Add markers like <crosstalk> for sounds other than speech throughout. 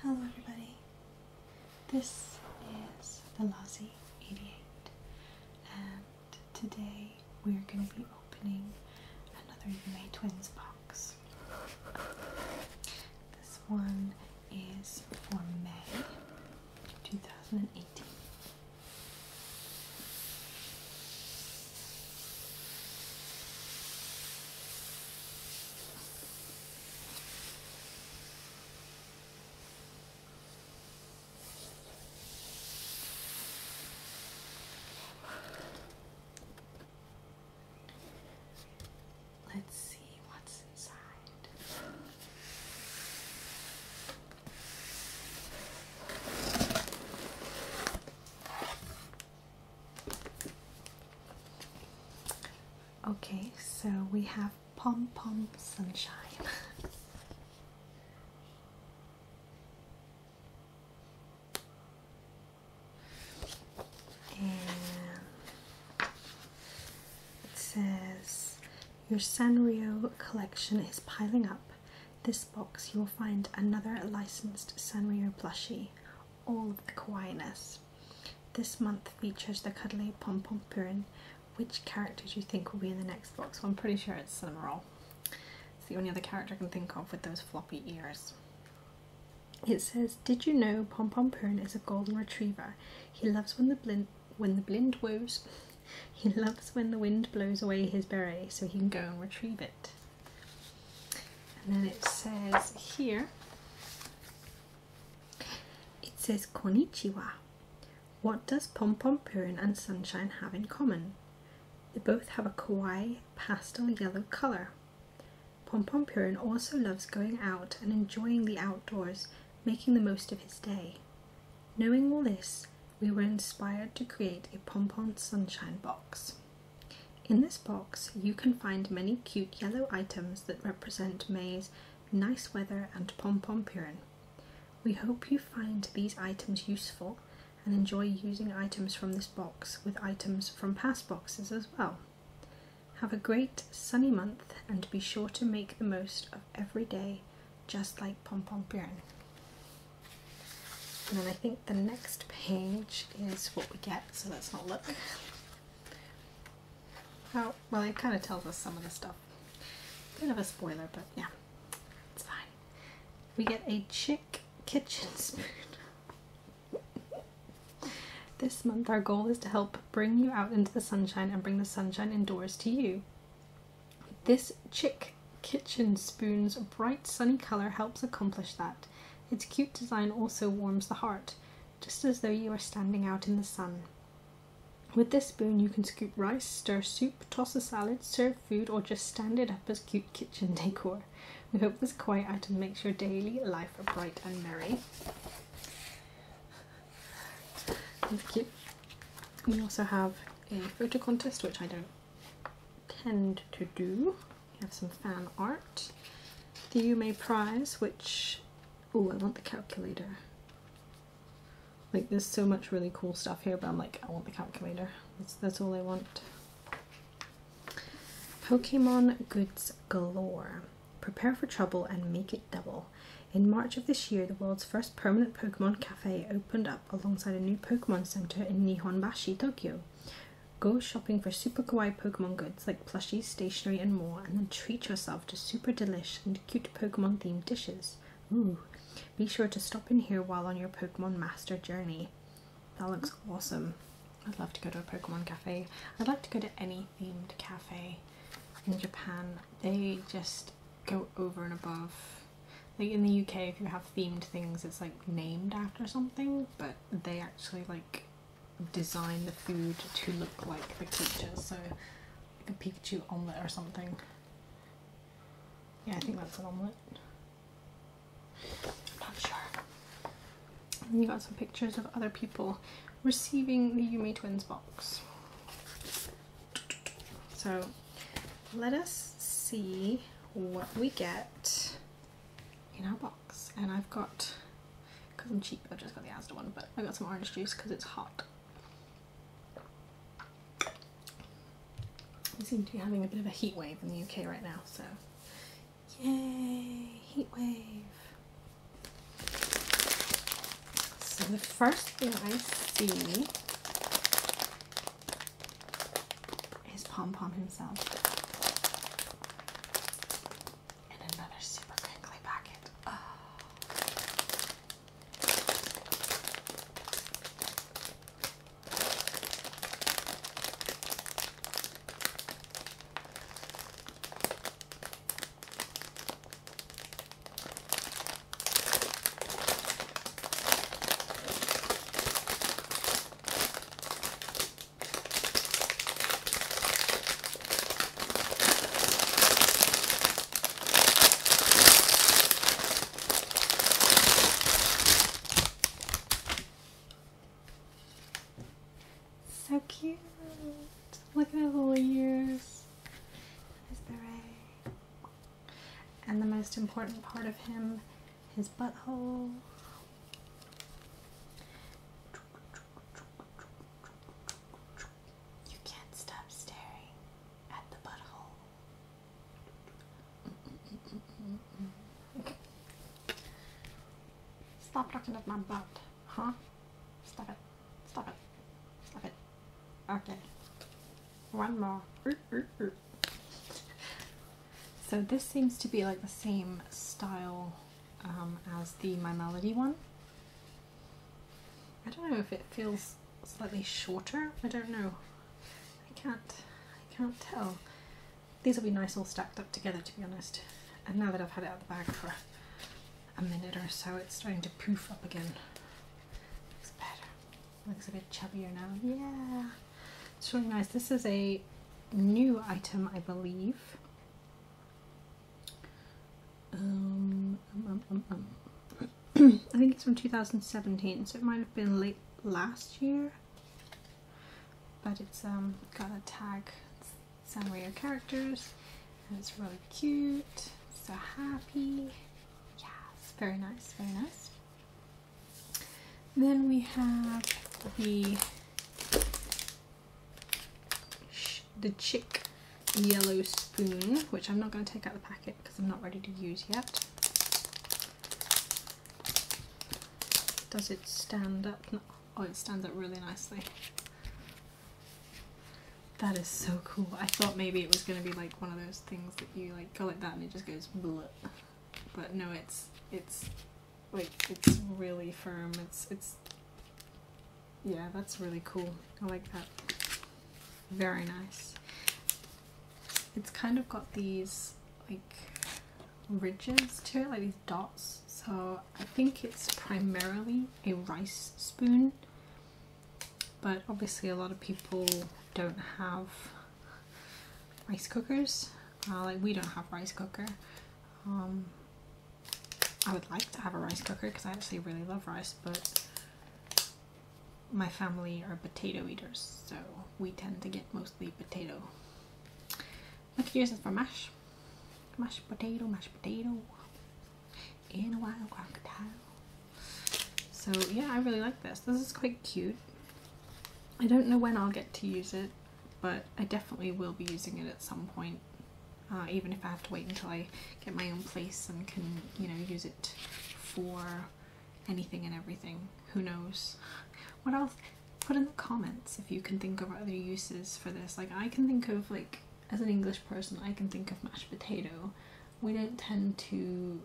Hello, everybody. This is the Lossy 88, and today we're going to be opening another UA Twins box. This one is for May 2018. Let's see what's inside. Okay, so we have Pom Pom Sunshine. <laughs> and it says, Your Sanrio collection is piling up. This box you'll find another licensed Sanrio plushie, all of the kawainess. This month features the cuddly pom pom purin. Which characters do you think will be in the next box? Well, I'm pretty sure it's Cinemarol. It's the only other character I can think of with those floppy ears. It says, "Did you know Pom Pom Purin is a golden retriever? He loves when the blind when the blind woos. <laughs> He loves when the wind blows away his beret, so he can go and retrieve it." and then it says here it says Konichiwa. what does pom pom purin and sunshine have in common they both have a kawaii pastel yellow color pom pom purin also loves going out and enjoying the outdoors making the most of his day knowing all this we were inspired to create a pom pom sunshine box. In this box, you can find many cute yellow items that represent May's nice weather and pom-pom purin. We hope you find these items useful and enjoy using items from this box with items from past boxes as well. Have a great sunny month and be sure to make the most of every day just like Pom Pom Purin. And then I think the next page is what we get, so let's not look. Oh, well, it kind of tells us some of the stuff. Bit of a spoiler, but yeah, it's fine. We get a chick kitchen <laughs> spoon. This month, our goal is to help bring you out into the sunshine and bring the sunshine indoors to you. This chick kitchen spoon's bright sunny colour helps accomplish that. Its cute design also warms the heart, just as though you are standing out in the sun. With this spoon, you can scoop rice, stir soup, toss a salad, serve food, or just stand it up as cute kitchen <laughs> decor. We hope this quiet item makes your daily life bright and merry. That's cute. We also have a photo contest, which I don't tend to do. We have some fan art. The Umay Prize, which, oh, I want the calculator. Like, there's so much really cool stuff here, but I'm like, I want the calculator. That's, that's all I want. Pokemon Goods Galore. Prepare for trouble and make it double. In March of this year, the world's first permanent Pokemon opened up alongside a new Pokemon Center in Nihonbashi, Tokyo. Go shopping for super kawaii Pokemon goods like plushies, stationery, and more, and then treat yourself to super delish and cute Pokemon themed dishes. Ooh, be sure to stop in here while on your Pokemon Master journey. That looks awesome. I'd love to go to a Pokemon cafe. I'd like to go to any themed cafe in Japan. They just go over and above like in the UK if you have themed things it's like named after something but they actually like design the food to look like the creatures so like a Pikachu omelette or something yeah I think that's an omelet not sure you got some pictures of other people receiving the Yumi Twins box so let us see what we get in our box. And I've got, because I'm cheap, I've just got the Asda one, but I have got some orange juice because it's hot. We seem to be having a bit of a heat wave in the UK right now, so yay, heat wave. So the first thing I see is Pom Pom himself. And another super crinkly packet. Oh. So cute! Look at his little ears. His beret. And the most important part of him his butthole. You can't stop staring at the butthole. Stop looking at my butt, huh? Stop it. Stop it. Stop it. Okay. One more. So this seems to be like the same style um, as the My Melody one. I don't know if it feels slightly shorter, I don't know. I can't, I can't tell. These will be nice all stacked up together to be honest. And now that I've had it out of the bag for a minute or so, it's starting to poof up again. Looks better. Looks a bit chubbier now. Yeah, it's really nice. This is a new item, I believe. Um, um, um, um <clears throat> I think it's from 2017, so it might have been late last year. But it's got a tag Sanrio characters, and it's really cute. So happy. Yes, very nice, very nice. Then we have the the Chick Yellow Spoon, which I'm not going to take out the packet because I'm not ready to use yet. Does it stand up? Oh, it stands up really nicely. That is so cool. I thought maybe it was going to be like one of those things that you like go like that and it just goes bleh. But no, it's it's like it's really firm. It's it's yeah, that's really cool. I like that. Very nice. It's kind of got these like ridges to it, like these dots. So I think it's primarily a rice spoon, but obviously a lot of people don't have rice cookers. Uh, like we don't have rice cooker. Um, I would like to have a rice cooker because I actually really love rice, but my family are potato eaters, so we tend to get mostly potato. But here's it for mash. Mashed potato, mashed potato, in a wild crocodile. So yeah, I really like this. This is quite cute. I don't know when I'll get to use it, but I definitely will be using it at some point. Uh, even if I have to wait until I get my own place and can, you know, use it for anything and everything. Who knows? What else? Put in the comments if you can think of other uses for this. Like, I can think of, like, as an English person, I can think of mashed potato. We don't tend to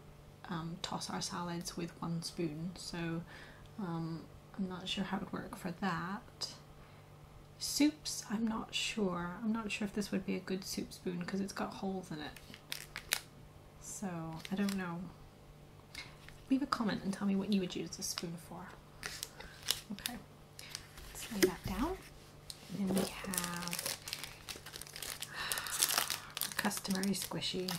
um, toss our salads with one spoon, so um, I'm not sure how it would work for that. Soups, I'm not sure. I'm not sure if this would be a good soup spoon because it's got holes in it. So, I don't know. Leave a comment and tell me what you would use this spoon for. Okay, let's lay that down. then we have <sighs> customary squishy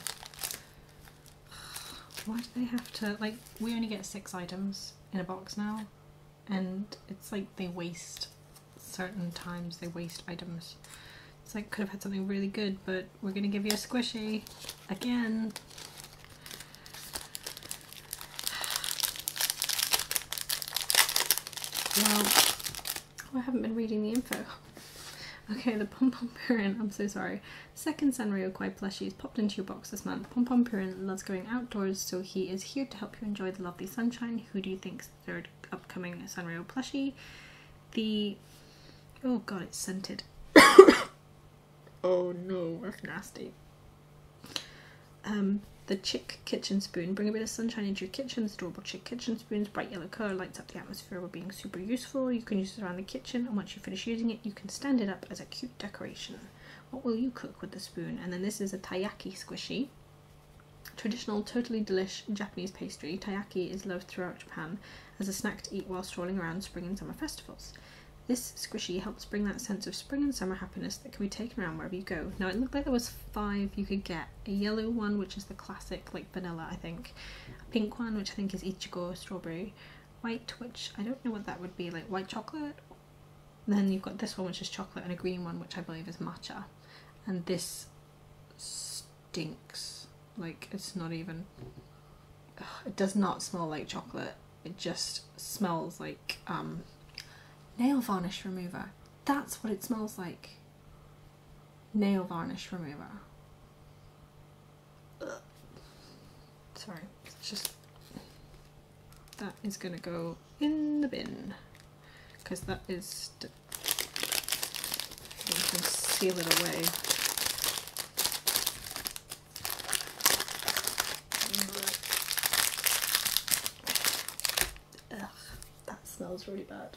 why do they have to, like, we only get six items in a box now, and it's like they waste certain times, they waste items. So I could have had something really good, but we're gonna give you a squishy again. Well, I haven't been reading the info. Okay, the Pom Pom Purin, I'm so sorry. Second Sanrio Kwai plushies popped into your box this month. Pom Pom Purin loves going outdoors, so he is here to help you enjoy the lovely sunshine. Who do you think's third upcoming Sanrio plushie? The... Oh god, it's scented. <coughs> oh no, that's nasty. Um, the Chick Kitchen Spoon. Bring a bit of sunshine into your kitchen. This adorable Chick Kitchen Spoon's bright yellow colour lights up the atmosphere atmosphere be being super useful. You can use it around the kitchen, and once you finish using it, you can stand it up as a cute decoration. What will you cook with the spoon? And then this is a taiyaki squishy. Traditional, totally delish Japanese pastry, taiyaki is loved throughout Japan as a snack to eat while strolling around spring and summer festivals. This squishy helps bring that sense of spring and summer happiness that can be taken around wherever you go. Now it looked like there was five you could get. A yellow one, which is the classic, like vanilla, I think pink, a pink one which I think is Ichigo strawberry, white which I don't know what that would be like white chocolate. Then you've got this one which is chocolate and a green one which I believe is matcha, and this stinks like it's not even. it does not smell like chocolate. It just smells like um, nail varnish remover. That's what it smells like. Nail varnish remover. Sorry, just that is gonna go in the bin because that is you seal it away. Ugh, that smells really bad.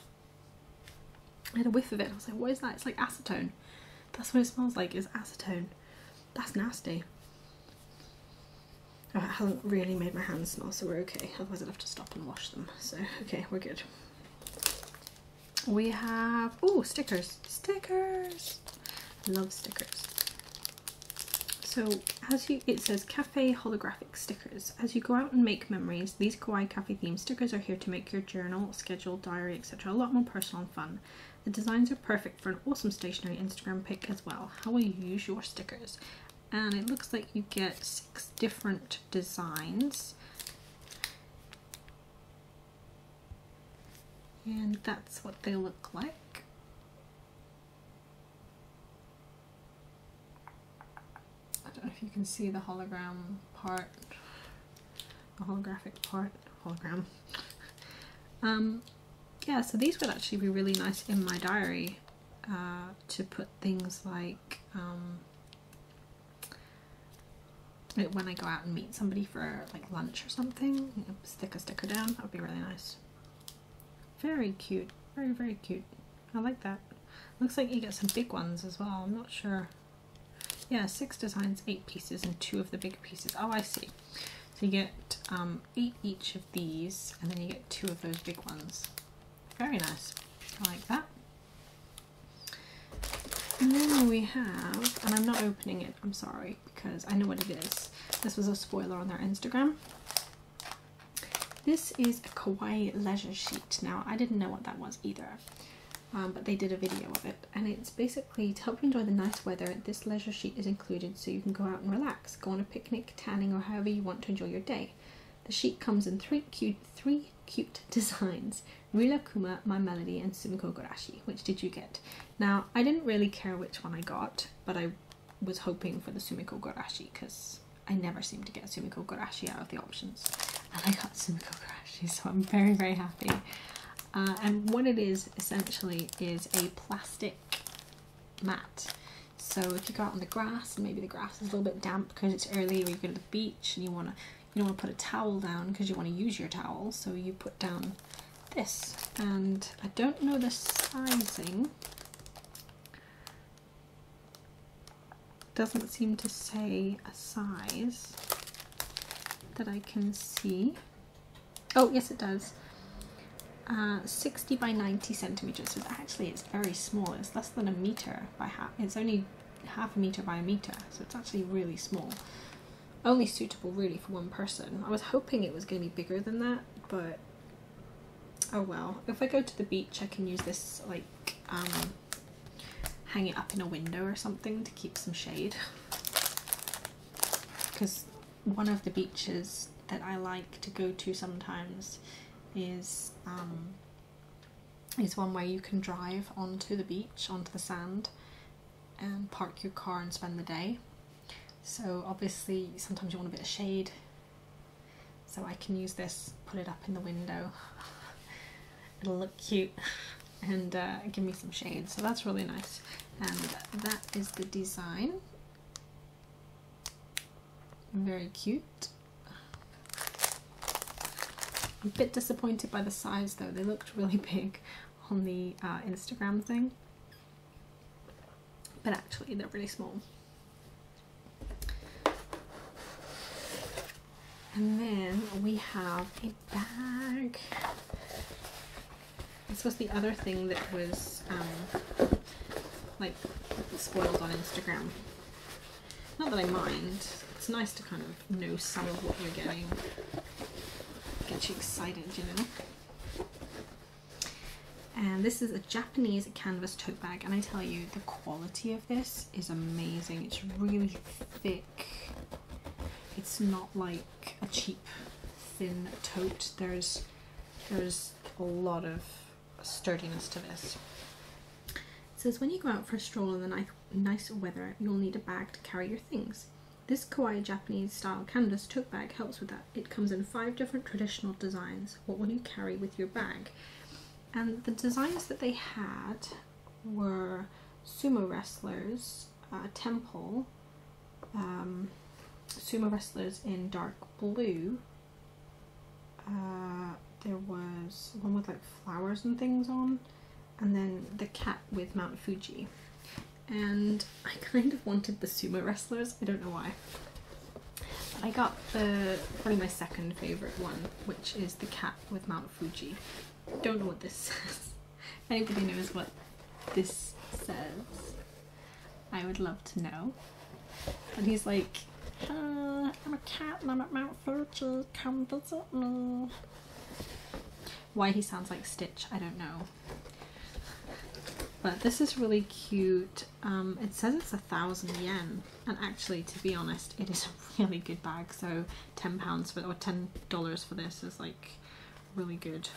I had a whiff of it. I was like, what is that? It's like acetone. That's what it smells like, It's acetone. That's nasty. Oh, it hasn't really made my hands smell, so we're okay. Otherwise I'd have to stop and wash them. So, okay, we're good. We have, oh, stickers. Stickers! Love stickers. So, as you, it says cafe holographic stickers. As you go out and make memories, these Kawaii Cafe theme stickers are here to make your journal, schedule, diary, etc. a lot more personal and fun. The designs are perfect for an awesome stationery Instagram pic as well. How will you use your stickers? And it looks like you get six different designs. And that's what they look like. I don't know if you can see the hologram part the holographic part hologram um yeah so these would actually be really nice in my diary uh, to put things like um like when I go out and meet somebody for like lunch or something, stick a sticker down. That would be really nice. Very cute. Very, very cute. I like that. Looks like you get some big ones as well. I'm not sure yeah, six designs, eight pieces, and two of the bigger pieces. Oh, I see. So you get um, eight each of these, and then you get two of those big ones. Very nice. I like that. And then we have, and I'm not opening it, I'm sorry, because I know what it is. This was a spoiler on their Instagram. This is a kawaii leisure sheet. Now, I didn't know what that was either. Um, but they did a video of it and it's basically to help you enjoy the nice weather this leisure sheet is included so you can go out and relax go on a picnic tanning or however you want to enjoy your day the sheet comes in three cute three cute <laughs> designs Rila Kuma, My Melody, and Sumiko Gorashi. Which did you get? Now, I didn't really care which one I got, but I was hoping for the Sumiko Gorashi because I never seem to get Sumiko Gorashi out of the options and I got cool Karashi, so I'm very, very happy. Uh, and what it is essentially is a plastic mat. So if you go out on the grass and maybe the grass is a little bit damp because it's early, or you go to the beach and you wanna you don't want to put a towel down because you want to use your towel, so you put down this. And I don't know the sizing doesn't seem to say a size that I can see. Oh, yes, it does. Uh, 60 by 90 centimeters. So actually, it's very small. It's less than a meter by half. It's only half a meter by a meter. So it's actually really small. Only suitable really for one person. I was hoping it was going to be bigger than that, but oh well. If I go to the beach, I can use this like um, hang it up in a window or something to keep some shade because one of the beaches that I like to go to sometimes is um, is one where you can drive onto the beach onto the sand and park your car and spend the day so obviously sometimes you want a bit of shade so I can use this put it up in the window it'll look cute and uh, give me some shade so that's really nice and that is the design very cute a bit disappointed by the size though they looked really big on the uh, Instagram thing but actually they're really small and then we have bag. This was the other thing that was um, like spoiled on Instagram. Not that I mind. It's nice to kind of know some of what you're getting. Get you excited, you know. And this is a Japanese canvas tote bag, and I tell you, the quality of this is amazing. It's really thick it's not like a cheap thin tote. There's there's a lot of sturdiness to this. It says when you go out for a stroll in the ni nice weather, you'll need a bag to carry your things. This kawaii Japanese style canvas tote bag helps with that. It comes in five different traditional designs. What will you carry with your bag? and the designs that they had were sumo wrestlers, uh, temple, um, sumo wrestlers in dark blue. Uh, there was one with like flowers and things on, and then the cat with Mount Fuji. And I <laughs> kind of wanted the sumo wrestlers, I don't know why. I got the probably my second favourite one, which is the cat with Mount Fuji don't know what this <laughs> says. anybody knows what this says, I would love to know. And he's like, uh, I'm a cat and I'm at Mount Fuji, come visit me. Why he sounds like Stitch, I don't know. But this is really cute. Um, it says it's a thousand yen, and actually, to be honest, it is a <laughs> really good bag. So ten pounds for or ten dollars for this is like really good.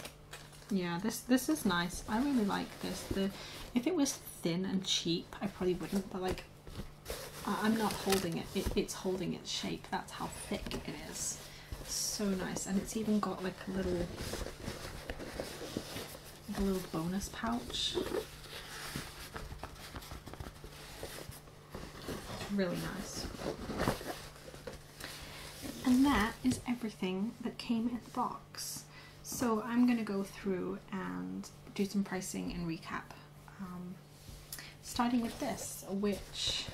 Yeah, this this is nice. I really like this. The if it was thin and cheap, I probably wouldn't. But like, I'm not holding it. it it's holding its shape. That's how thick it is. So nice, and it's even got like a little like a little bonus pouch. Really nice. And that is everything that came in the box. So I'm going to go through and do some pricing and recap. Um, starting with this, which,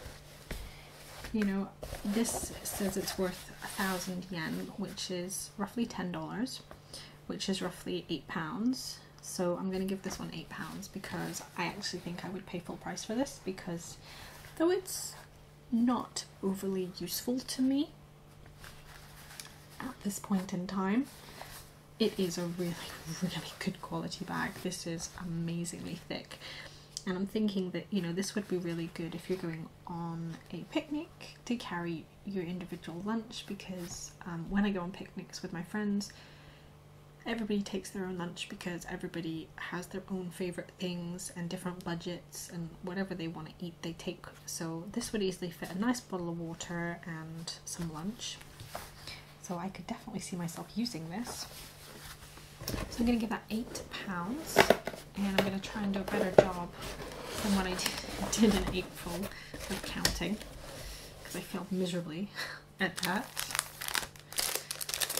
you know, this says it's worth a thousand yen, which is roughly ten dollars, which is roughly eight pounds. So I'm going to give this one £8 because I actually think I would pay full price for this because though it's not overly useful to me at this point in time, it is a really, really good quality bag. This is amazingly thick. And I'm thinking that, you know, this would be really good if you're going on a picnic to carry your individual lunch because um, when I go on picnics with my friends, everybody takes their own lunch because everybody has their own favorite things and different budgets and whatever they want to eat they take so this would easily fit a nice bottle of water and some lunch so i could definitely see myself using this so i'm going to give that eight pounds and i'm going to try and do a better job than what i <laughs> did, in april of counting because i failed miserably <laughs> at that.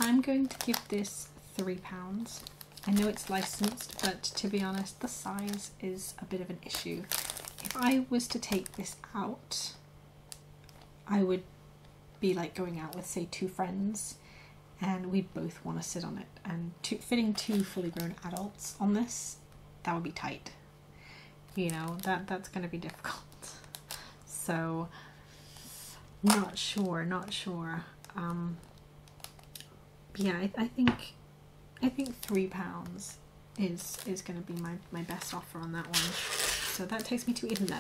I'm going to give this three pounds. I know it's licensed, but to be honest, the size is a bit of an issue. If I was to take this out, I would be like going out with, say, two friends, and we both want to sit on it. And fitting two fully grown adults on this, that would be tight you know that that's going to be difficult so not sure not sure um yeah I, I think i think three pounds is is going to be my my best offer on that one so that takes me to 11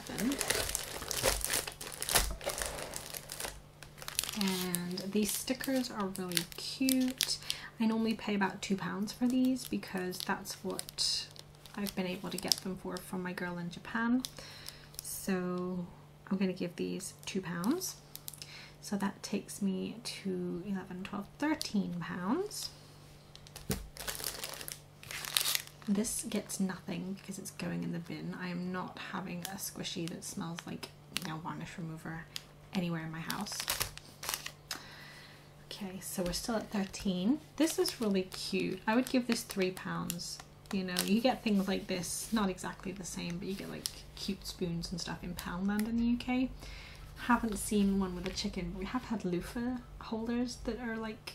and these stickers are really cute I normally pay about two pounds for these because that's what I've been able to get them for from my girl in Japan. So I'm going to give these two pounds. So that takes me to 11, 12, 13 pounds. This gets nothing because it's going in the bin. I am not having a squishy that smells like nail varnish remover anywhere in my house. Okay, so we're still at 13. This is really cute. I would give this three pounds. You know, you get things like this, not exactly the same, but you get like cute spoons and stuff in Poundland in the UK. Haven't seen one with a chicken, we have had loofah holders that are like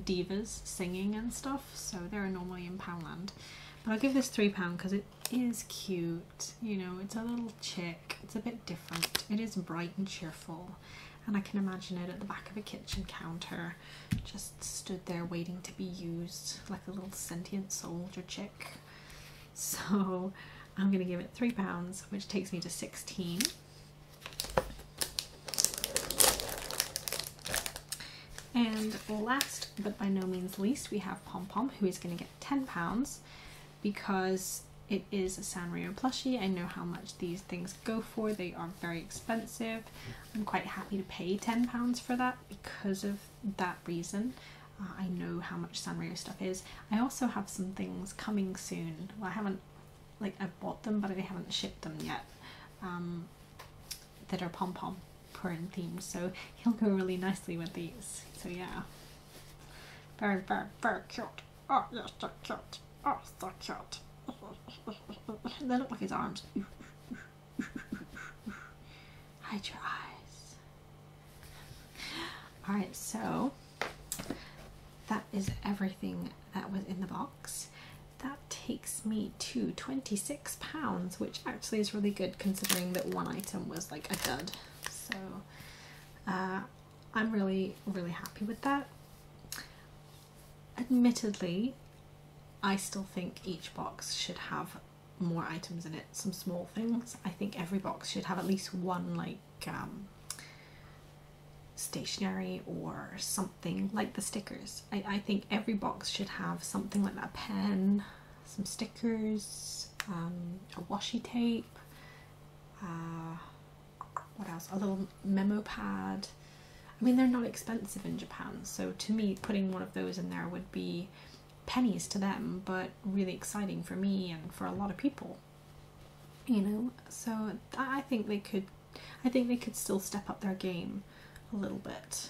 divas singing and stuff, so they're normally in Poundland. But I'll give this three pound because it is cute. You know, it's a little chick. It's a bit different. It is bright and cheerful and I can imagine it at the back of a kitchen counter, just stood there waiting to be used like a little sentient soldier chick. So I'm going to give it three pounds, which takes me to 16. And last but by no means least, we have Pom Pom, who is going to get £10 because it is a Sanrio plushie. I know how much these things go for. They are very expensive. I'm quite happy to pay £10 for that because of that reason. Uh, I know how much Sanrio stuff is. I also have some things coming soon. Well, I haven't, like, i bought them, but I haven't shipped them yet. Um, that are pom pom print themed, so he'll go really nicely with these. So yeah, very very very cute. Oh, you're so cute. Oh, so cute. they look like his arms. Hide your eyes. Alright, so that is everything that was in the box. That takes me to £26, which actually is really good considering that one item was like a dud. So uh, I'm really, really happy with that. Admittedly, I still think each box should have more items in it, some small things. I think every box should have at least one like um, stationery or something like the stickers. I, I think every box should have something like a pen, some stickers, um, a washi tape, uh, what else? A little memo pad. I mean, they're not expensive in Japan, so to me, putting one of those in there would be pennies to them, but really exciting for me and for a lot of people. You know, so I think they could, I think they could still step up their game a little bit.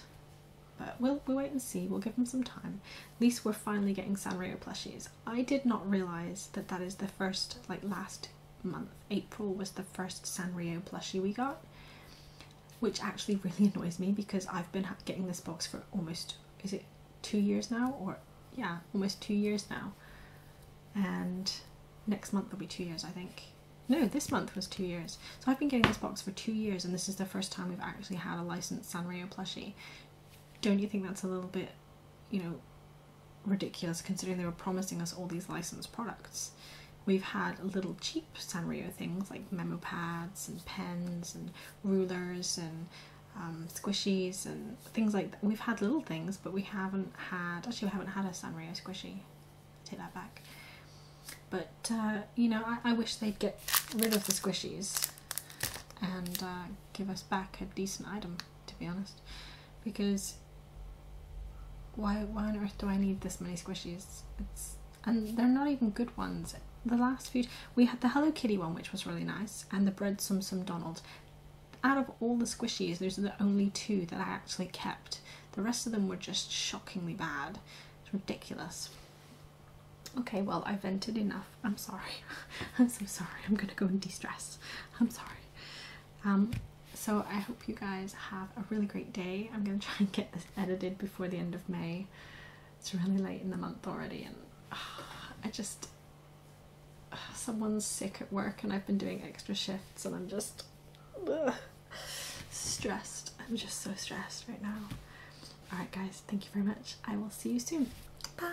But we'll, we wait and see. We'll give them some time. At least we're finally getting Sanrio plushies. I did not realize that that is the first, like, last month. April was the first Sanrio plushie we got, which actually <laughs> really annoys me because I've been getting this box for almost is it two years now or yeah almost two years now, and next month will be two years I think. No, this month was two years. So I've been getting this box for two years, and this is the first time we've actually had a licensed Sanrio plushie. Don't you think that's a little bit you know, ridiculous considering they were promising us all these licensed products. We've had little cheap Sanrio things like memo pads and pens and rulers and um, squishies and things like that. We've had little things, but we haven't had, actually, we haven't had a Sanrio squishy. Take that back. But, uh, you know, I, wish they'd get rid of the squishies and uh, give us back a decent item to be honest, because why why on earth do I need this many squishies? It's and they're not even good ones. The last few we had the Hello Kitty one, which was really nice, and the bread Sum Sum Donald. Out of all the squishies, those are the only two that I actually kept. The rest of them were just shockingly bad. It's ridiculous. Okay, well I vented enough. I'm sorry. <laughs> I'm so sorry. I'm gonna go and de-stress. I'm sorry. Um, so I hope you guys have a really great day. I'm going <laughs> to try and get this edited before the end of May. It's really late in the month already and <sighs> I just... <sighs> someone's sick at work and I've been doing extra shifts and I'm just stressed. I'm just so stressed right now. Alright guys, thank you very much. I will see you soon. Bye!